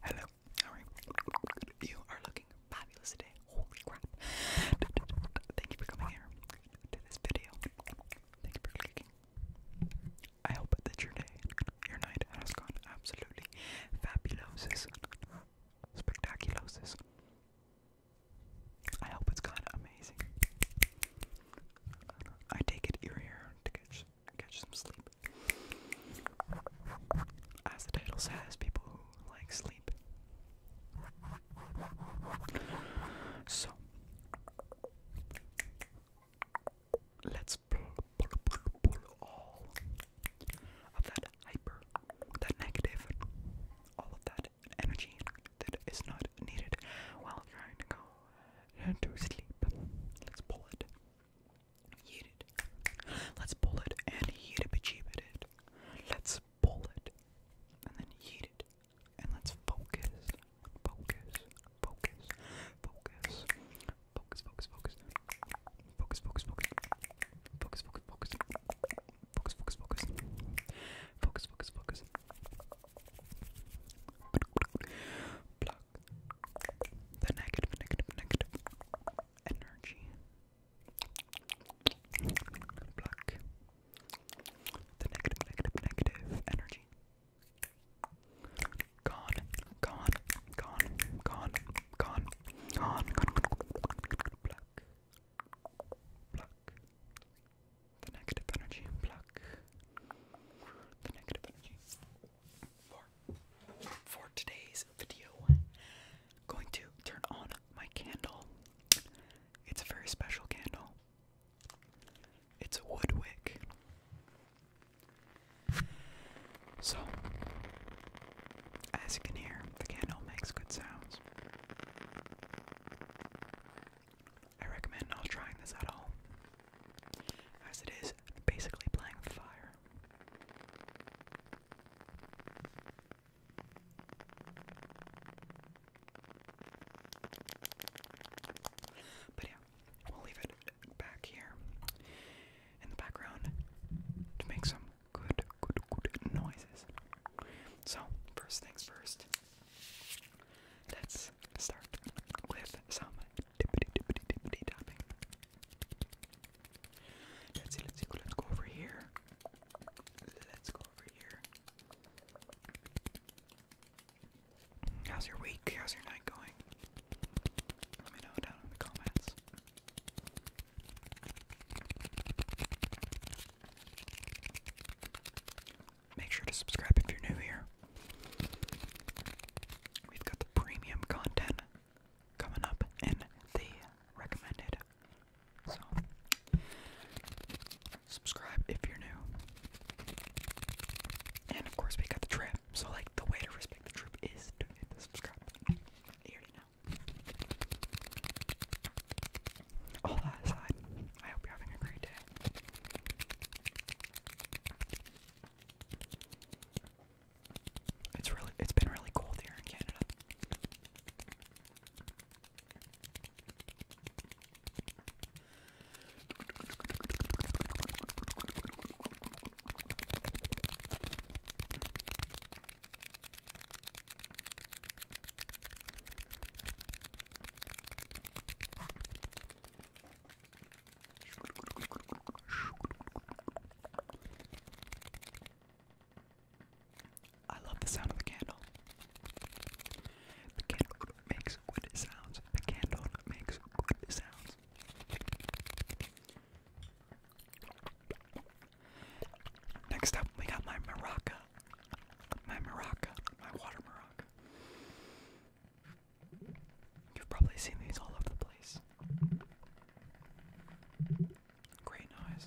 Hello. You are looking fabulous today. Holy crap. Thank you for coming here to this video. Thank you for clicking. I hope that your day, your night has gone absolutely fabulous. Spectaculosis. I hope it's gone amazing. I take it you're here catch some sleep. As the title says, people who like sleep. So let's pull, pull, pull, pull all of that hyper, that negative, all of that energy that is not needed while trying to go to sleep. Let's pull it Yeet it. Let's pull it and yeet it, achieve it. Let's pull it and then yeet it. And let's focus, focus, focus, focus, focus, focus, focus, focus, focus, focus, focus, focus, focus, focus, focus, focus, focus, focus, focus. Block, suck the negative, negative, negative energy. Pluck the negative, negative, negative energy. Gone, gone, gone, gone, gone, gone, pluck, pluck, the negative energy, pluck, the negative energy for today's video, I'm going to turn on my candle. It's a very special candle. It's a wood wick. So, as you can hear, the candle makes good sounds. I recommend not trying this at home, as it is basically playing fire. But yeah, we'll leave it back here in the background to make some good, good, good noises. So, first things first, let's start with some Let's see, let's see, let's go over here. Let's go over here. How's your week? How's your night going? Let me know down in the comments. Make sure to subscribe if you're new here. We've got the premium content coming up in the recommended. So, subscribe if you're new. And of course, we got the trip. So, like, the way to respect the trip is to hit the subscribe button. You already All that aside, I hope you're having a great day. It's really it's been really cold here in Canada. I love the sound of the candle. The candle makes good sounds. The candle makes good sounds. Next up, we got my maraca. My maraca. My water maraca. You've probably seen these all over the place eyes. Green eyes.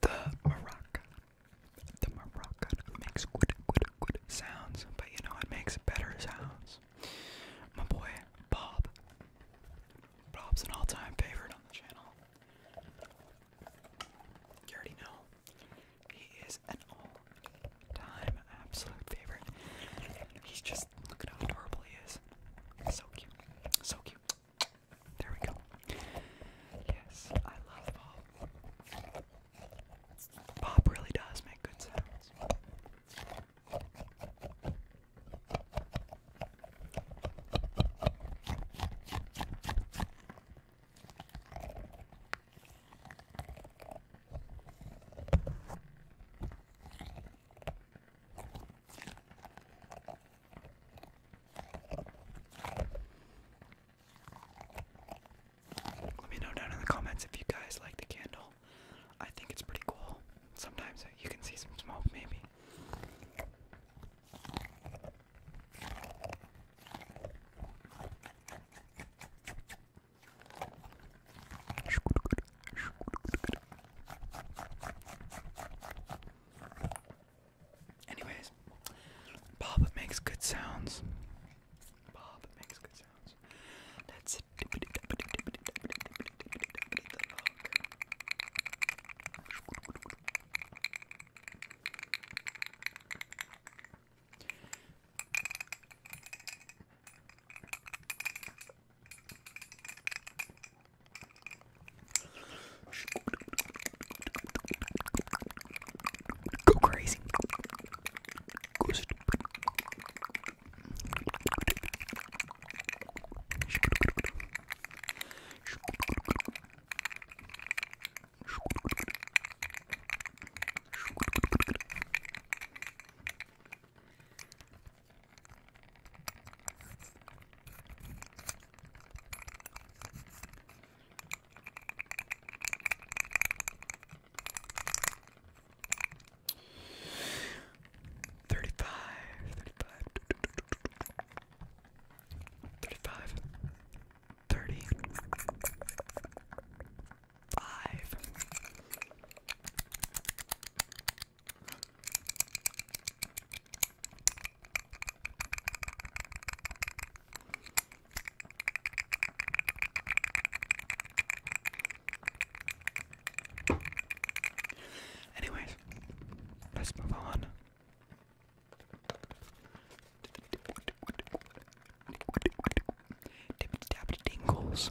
The maraca. The maraca makes good, good, good sounds, but you know it makes better sounds. My boy Bob. Bob's an all-time favorite on the channel. You already know. He is an all-time absolute favorite. He's just look at how adorable he is. So cute. So cute. There we go. Yes, I love Bob. Bob really does make good sounds. Let me know down in the comments if you guys like the candle. I think it's pretty cool. Sometimes you can see some smoke, maybe. Anyways, Bob makes good sounds. Bob makes good sounds. That's it. Go crazy. Go stupid. 35 35 35 30 5 Anyways, let's move on. Dingles.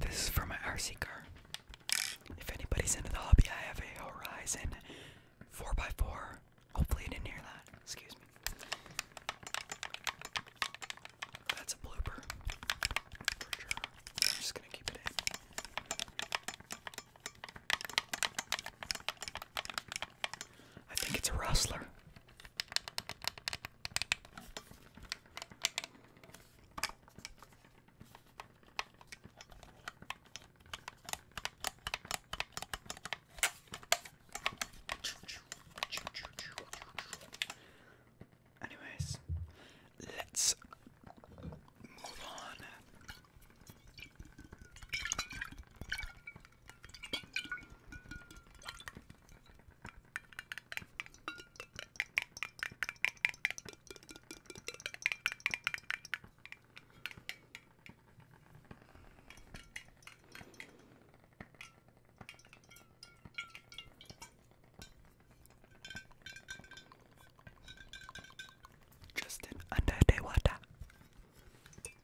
This is for my RC car. If anybody's into the hobby, I have a Horizon 4x4. Hopefully, you didn't hear that. Excuse me. That's a blooper. I'm just gonna keep it in. I think it's a rustler. Anyways, let's move on. Justin under the water.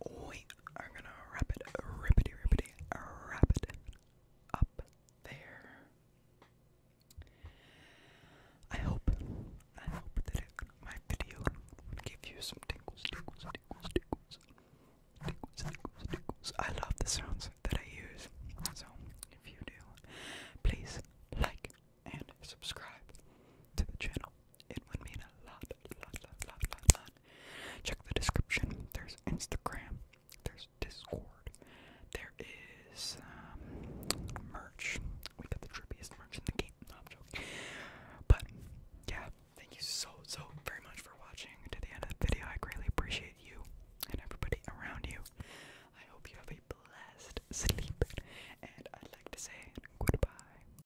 we are gonna wrap it, rip it, rip it, wrap it up there. I hope, I hope that my video will give you some tingles, tingles, tingles, tingles, tingles, tingles, tingles. I love the sounds that I use, so if you do, please like and subscribe to the channel. It would mean a lot, lot, lot, lot, lot, Check the description. There's Instagram. There's Discord. There is um, merch. We got the trippiest merch in the game. No, I'm But yeah, thank you so, so very much for watching to the end of the video. I greatly appreciate you and everybody around you. I hope you have a blessed sleep, and I'd like to say goodbye,